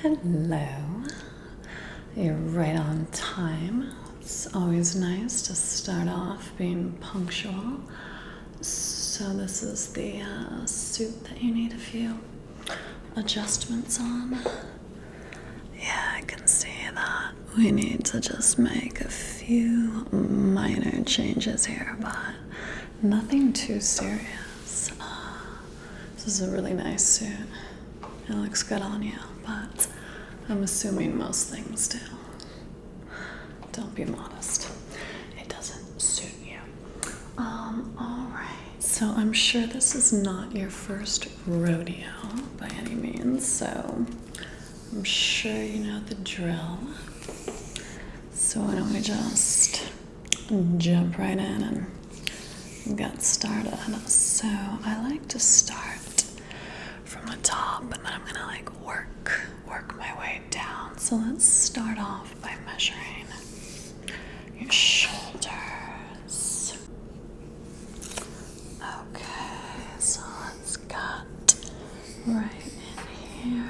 Hello. You're right on time. It's always nice to start off being punctual. So, this is the uh, suit that you need a few adjustments on. Yeah, I can see that. We need to just make a few minor changes here, but Nothing too serious. Uh, this is a really nice suit. It looks good on you, but I'm assuming most things do. Don't be modest. It doesn't suit you. Um, alright, so I'm sure this is not your first rodeo by any means, so I'm sure you know the drill. So why don't we just jump right in and get started. So I like to start from the top and then I'm gonna like work, work my way down. So let's start off by measuring your shoulders. Okay, so let's cut right in here.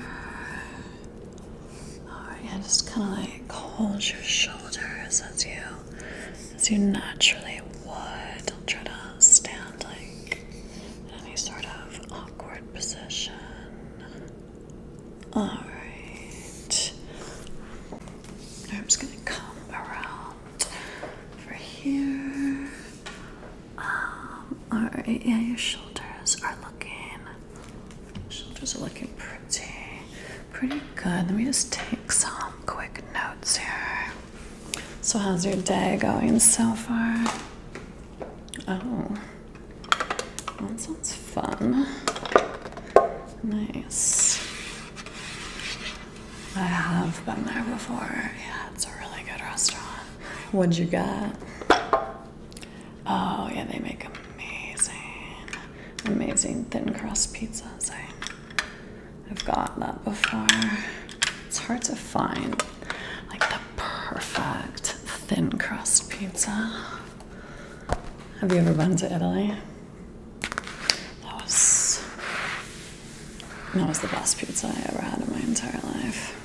Alright, yeah, just kinda like hold your shoulders as you as you naturally would. Don't try to stand like any sort of awkward position. Alright. I'm just gonna come around over here. Um, alright, yeah, your shoulders are looking Shoulders are looking pretty, pretty good. Let me just take some quick notes here. So, how's your day going so far? Oh, that sounds fun. Nice. I have been there before. Yeah, it's a really good restaurant. What'd you get? Oh yeah, they make amazing, amazing thin crust pizzas. I, I've got that before. It's hard to find like the perfect thin crust pizza. Have you ever been to Italy? That was that was the best pizza I ever had in my entire life.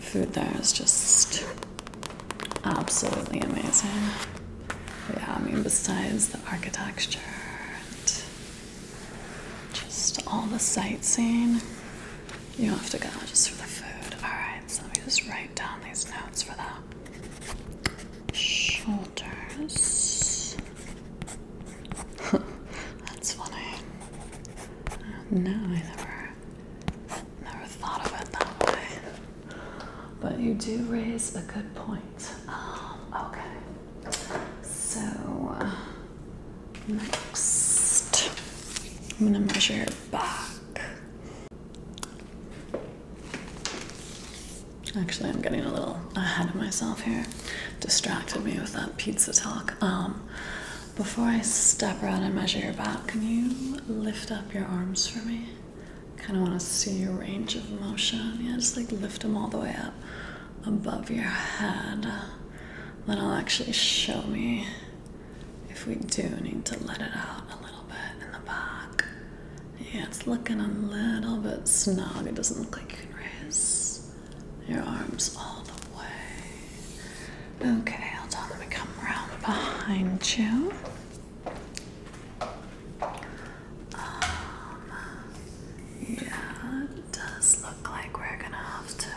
Food there is just Absolutely amazing. Yeah, I mean, besides the architecture and just all the sightseeing, you have to go just for the food. Alright, so let me just write down these notes for them. shoulders. That's funny. No, I never thought of it that way. But you do raise a good point. Um, okay. So, uh, next, I'm gonna measure your back. Actually, I'm getting a little ahead of myself here. Distracted me with that pizza talk. Um, before I step around and measure your back, can you lift up your arms for me? kind of want to see your range of motion. Yeah, just like lift them all the way up above your head. Then I'll actually show me if we do need to let it out a little bit in the back. Yeah, it's looking a little bit snug. It doesn't look like you can raise your arms all the way. Okay, I'll tell them to come around behind you. Um, yeah, it does look like we're gonna have to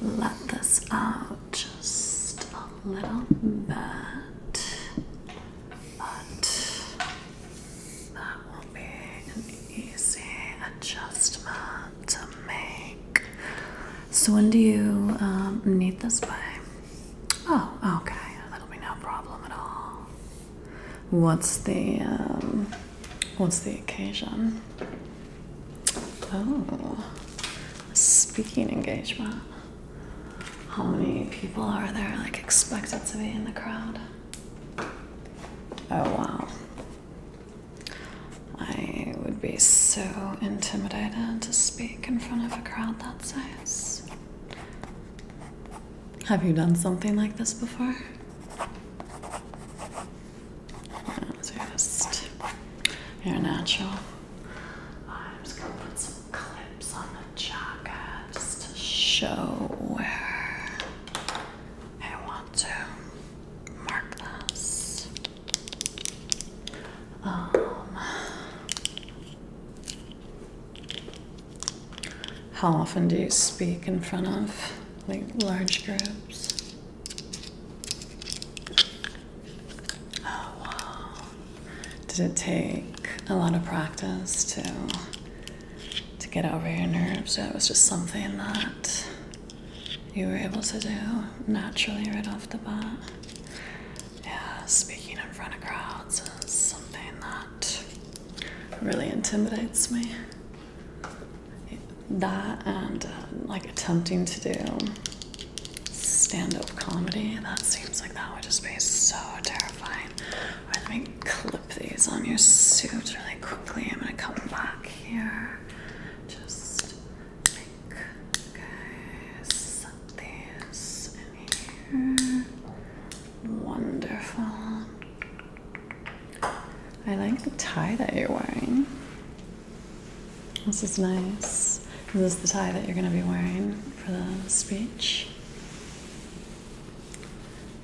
let this out just a little bit, but that will be an easy adjustment to make. So, when do you um, need this by? Oh, okay. That'll be no problem at all. What's the um, what's the occasion? Oh, speaking engagement. How many people are there like expected to be in the crowd? Oh wow. I would be so intimidated to speak in front of a crowd that size. Have you done something like this before? you're just you're natural. I'm just gonna put some clips on the jacket just to show where I want to mark this. Um, how often do you speak in front of like large groups? Oh, Did it take a lot of practice to to get over your nerves? Or was just something that you were able to do naturally right off the bat. Yeah, speaking in front of crowds is something that really intimidates me. That and uh, like attempting to do stand up comedy, that seems like that would just be so terrifying. let me clip these on your suit really quickly. I'm gonna come back here. Just like, okay, this here. Wonderful. I like the tie that you're wearing. This is nice. Is this the tie that you're going to be wearing for the speech?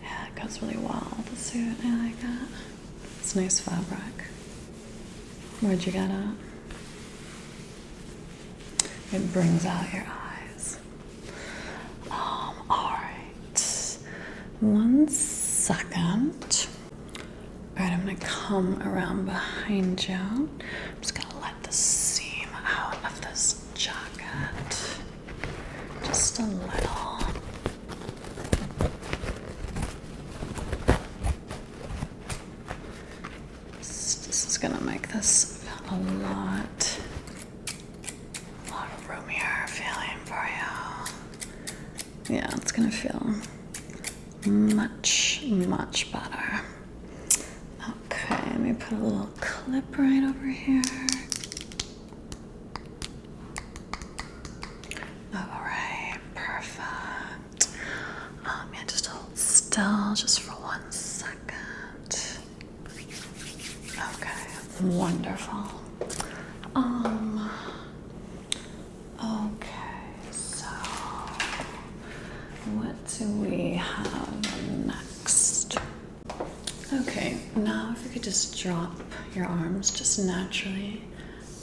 Yeah, it goes really well with the suit. I like that. It's nice fabric. Where'd you get it? It brings out your eyes. Um, alright. One second. Alright, I'm gonna come around behind you. I'm just gonna let the seam out of this jacket. Just a little. This, is gonna make this a lot, a lot roomier feeling for you. Yeah, it's gonna feel much, much better. Okay, let me put a little clip right over here. Alright, perfect. Um, yeah, just hold still just for one second. Okay, wonderful. Um okay, so what do we have next? Okay, now if you could just drop your arms just naturally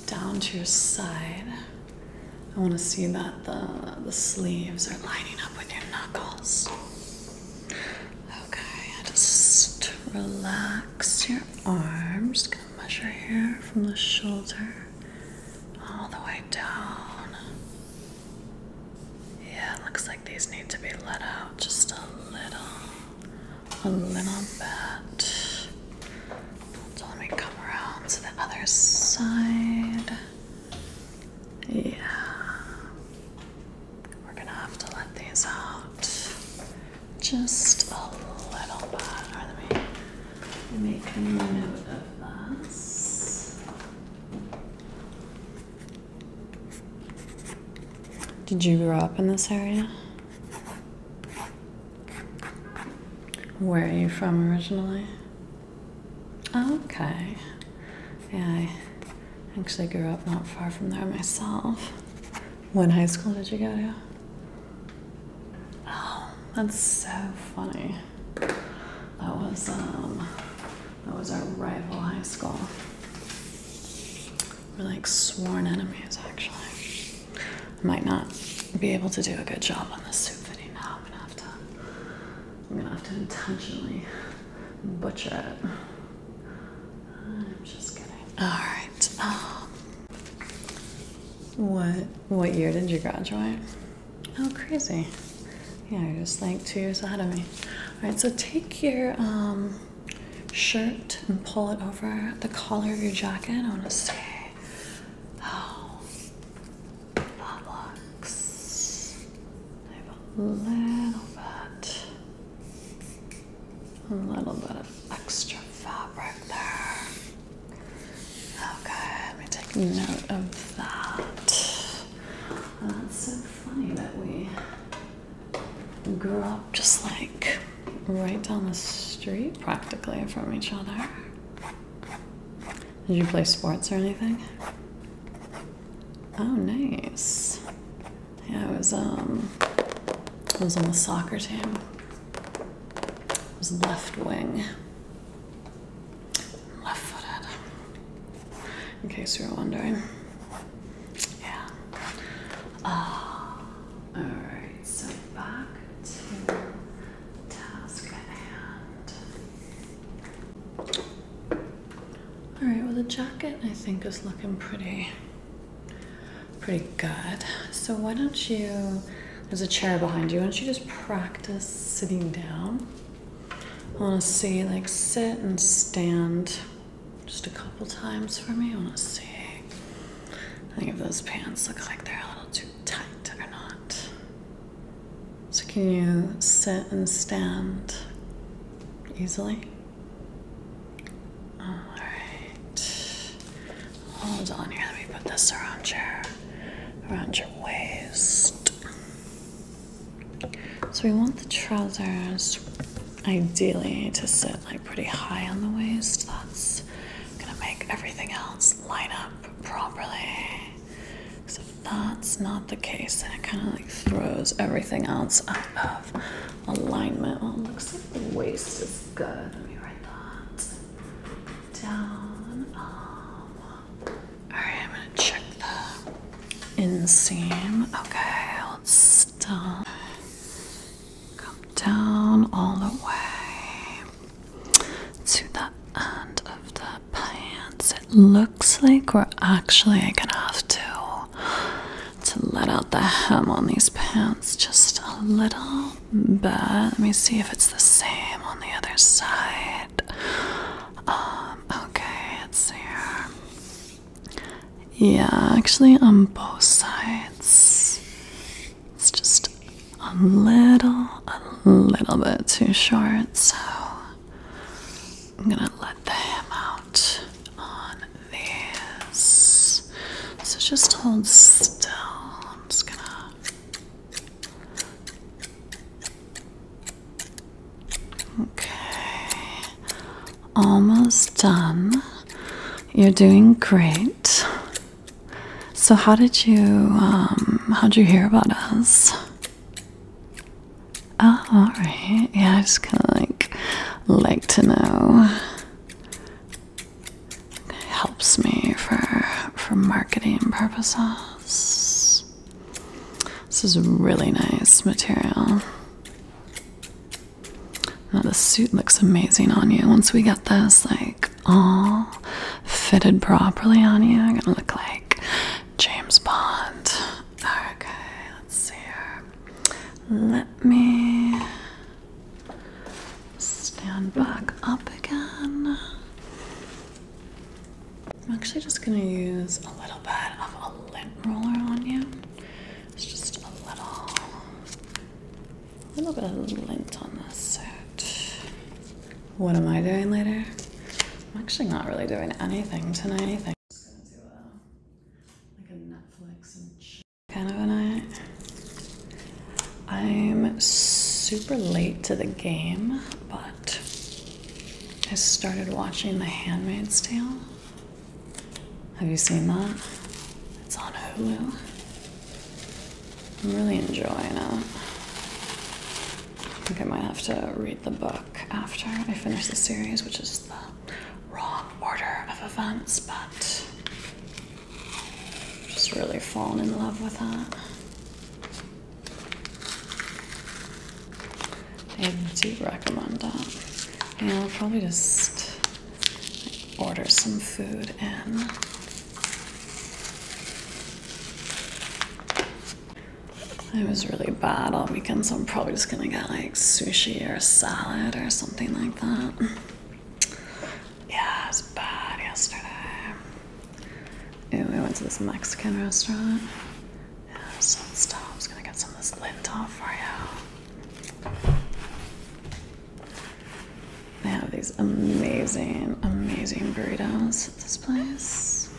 down to your side. I want to see that the the sleeves are lining up with your knuckles. Okay, just relax your arms. Just Gonna measure here from the shoulder all the way down. Yeah, it looks like these need to be let out just a little, a little bit. So let me come around to the other side. Yeah. We're gonna have to let these out just a little bit. Did you grow up in this area? Where are you from originally? Okay. Yeah, I actually grew up not far from there myself. What high school did you go to? Oh, that's so funny. That was um that was our rival high school. We're like sworn enemies actually. might not be able to do a good job on this soup video now. I'm gonna have to I'm gonna have to intentionally butcher it. I'm just kidding. Alright. what what year did you graduate? Oh crazy. Yeah, you're just like two years ahead of me. Alright, so take your um, shirt and pull it over the collar of your jacket. I wanna say. Oh Potlucks. a little bit, a little bit of extra fabric there. Okay, let me take note of that. that's so funny that we grew up just like right down the street practically from each other. Did you play sports or anything? Oh, nice. Yeah, I was um, I was on the soccer team. I was left wing, left footed. In case you are wondering. Yeah. Uh, all right. So back to task at hand. All right, well the jacket I think is looking pretty, pretty good. So why don't you, there's a chair behind you, why don't you just practice sitting down? I wanna see like sit and stand just a couple times for me, I wanna see. I think if those pants look like they're a little too tight or not. So, can you sit and stand easily? All right. Hold on here. Let me put this around your around your waist. So we want the trousers ideally to sit like pretty high on the waist. That's gonna make everything else line up properly. So that's not the case, then it kind of like throws everything else out of alignment. Well, it looks like the waist is good. Let me write that down. all right, I'm gonna check the inseam. Okay, let's stop. Come down all the way to that end of the pants. It looks like we're actually gonna have to to let out the hem on these pants just a little bit. Let me see if it's the same on the other side. Um, okay, it's here. Yeah, actually on both sides. It's just a little, a little bit too short, so I'm gonna let the hem out on this. So just hold still. I'm just gonna. Okay, almost done. You're doing great. So, how did you um, how'd you hear about us? Oh, alright. Yeah, I just kind of like like to know. helps me for for marketing purposes. This is really nice material. Now the suit looks amazing on you. Once we get this like all fitted properly on you, I'm gonna look like James Bond. Okay, let's see here. Let me stand back up again. I'm actually just gonna use a little bit of a lint roller on you. It's just a little, a little bit of lint on this set. What am I doing later? I'm actually not really doing anything tonight. I'm kind of a night. I'm super late to the game, but I started watching The Handmaid's Tale. Have you seen that? It's on Hulu. I'm really enjoying it. I think I might have to read the book after I finish the series, which is the wrong order of events, but just really fallen in love with that. I do recommend that. And I'll probably just order some food in. It was really bad on weekends, so I'm probably just gonna get like sushi or salad or something like that. Yeah, it was bad yesterday. Ew, we went to this Mexican restaurant. Yeah, there's some stuff. I was gonna get some of this lint for you. They have these amazing, amazing burritos at this place.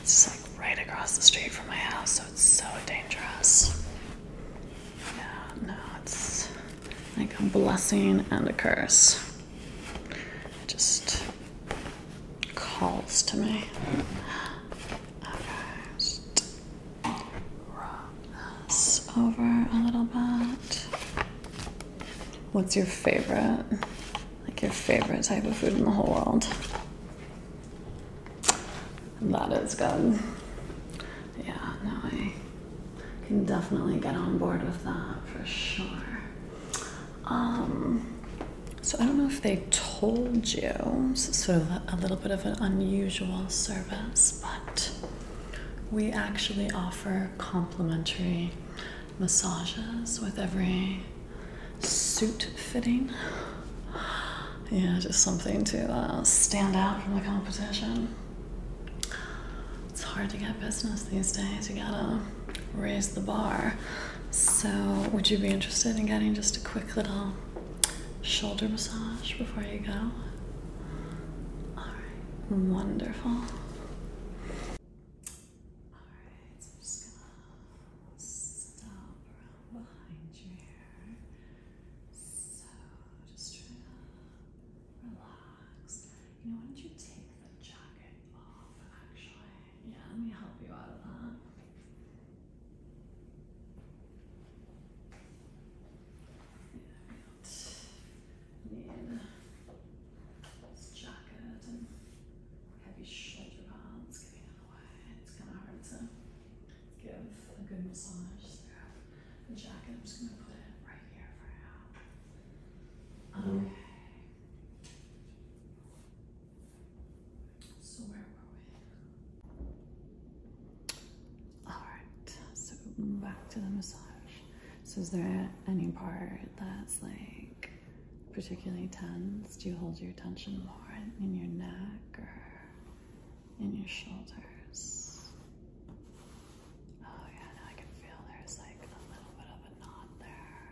It's just like right across the street from my house, so it's so dangerous. Yeah, no, it's like a blessing and a curse. It just calls to me. Okay, just rub this over a little bit. What's your favorite? like your favorite type of food in the whole world. That is good. Yeah, no, I can definitely get on board with that for sure. Um, so I don't know if they told you, so sort of a little bit of an unusual service, but we actually offer complimentary massages with every suit fitting. Yeah, just something to uh, stand out from the competition. It's hard to get business these days. You gotta raise the bar. So, would you be interested in getting just a quick little shoulder massage before you go? All right, wonderful. Alright, so I'm just gonna stop around behind your hair. So just try to relax. You know, why don't you take the jacket off actually? Yeah, let me help you out of that. Yeah, I need this jacket and heavy shoulder bones getting in the way. It's kind of hard to give a good massage through the jacket. I'm just going to put it right here for now. Mm-hmm. Okay. So where were we? Alright, so back to the massage. So is there any part that's like particularly tense? Do you hold your tension more in your neck or in your shoulders? Oh, yeah, I can feel there's like a little bit of a knot there.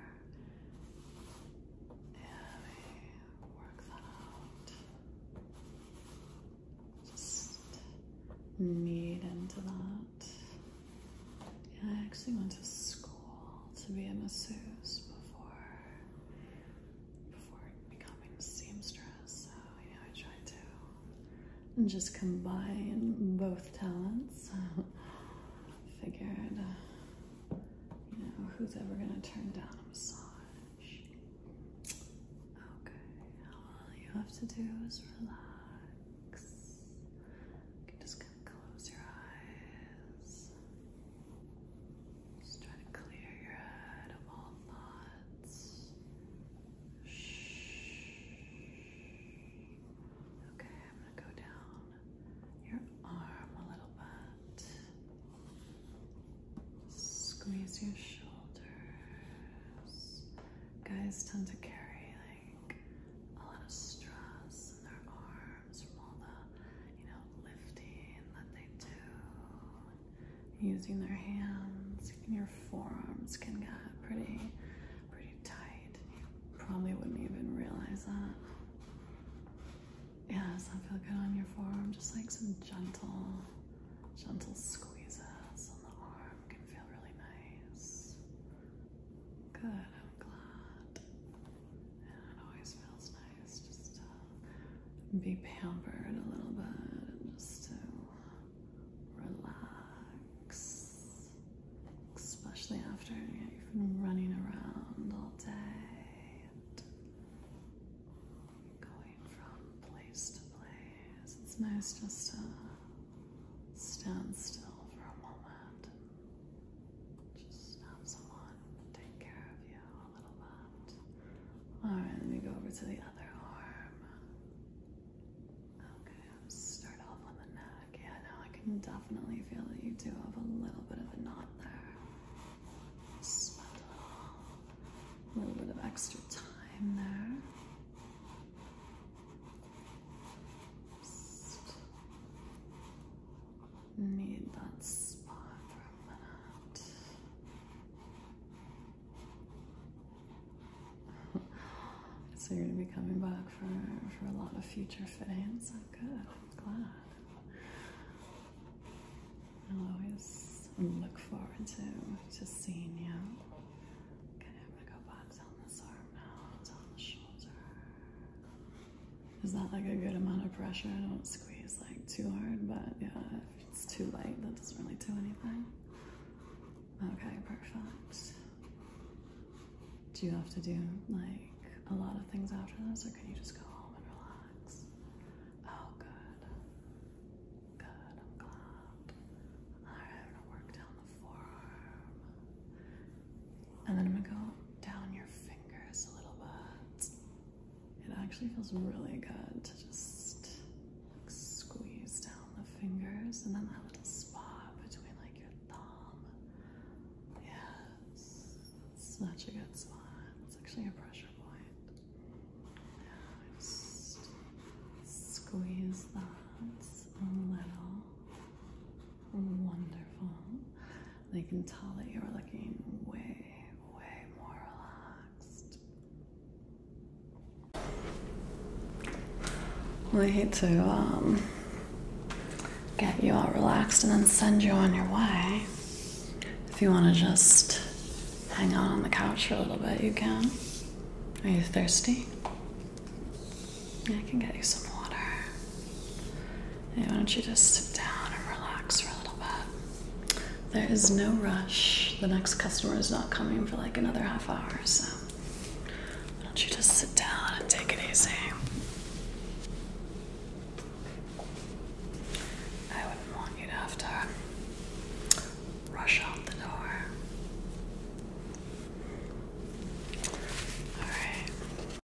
Yeah, we work that out. Just knead into that. Yeah, I actually went to school to be a masseuse before before becoming a seamstress. So you know, I tried to just combine both talents. Figured, uh, you know, who's ever gonna turn down a massage? Okay, all you have to do is relax. You can close your eyes. Just try to clear your head of all thoughts. Shh. Okay, I'm gonna go down your arm a little bit. Squeeze your shoulders. Guys tend to carry like a lot of stress in their arms from all the, you know, lifting that they do, using their hands. your forearms can get pretty, pretty tight. You probably wouldn't even realize that. Yeah, does that feel good on your forearm? Just like some gentle, gentle squeezes on the arm can feel really nice. Good, I'm glad it always feels nice just to be pampered a little bit and just to relax, especially after you've been running around all day and going from place to place. It's nice just to stand still for a moment and just have someone take care of you Alright, let me go over to the other arm. Okay, start off on the neck. Yeah, now I can definitely feel you do have a little bit of a knot there. a little bit of extra time there need that spot for a minute. so you're gonna be coming back for for a lot of future fittings. Oh, good. I'm glad. I will always look forward to to seeing you. Okay, I'm to go box on this arm now. It's the shoulder. Is that like a good amount of pressure. I don't squeeze like too hard, but yeah, if it's too light, that doesn't really do anything. Okay, perfect. Do you have to do like a lot of things after this, or can you just go home and relax? Oh, good. Good, I'm glad. Alright, I'm gonna work down the forearm. And then I'm gonna go down your fingers a little bit. It actually feels really good to just squeeze down the fingers and then that little spot between like your thumb. Yes, that's such a good spot. It's actually a pressure point. Now just squeeze that a little. Wonderful. They can tell that you're looking way, way more relaxed. Well, I hate to um, get you all relaxed and then send you on your way. If you want to just hang out on the couch for a little bit, you can. Are you thirsty? I can get you some water. Hey, why don't you just sit down and relax for a little bit? There is no rush. The next customer is not coming for like another half hour, so why don't you just sit down and take it easy? I wouldn't want you to have to rush out the door. Alright.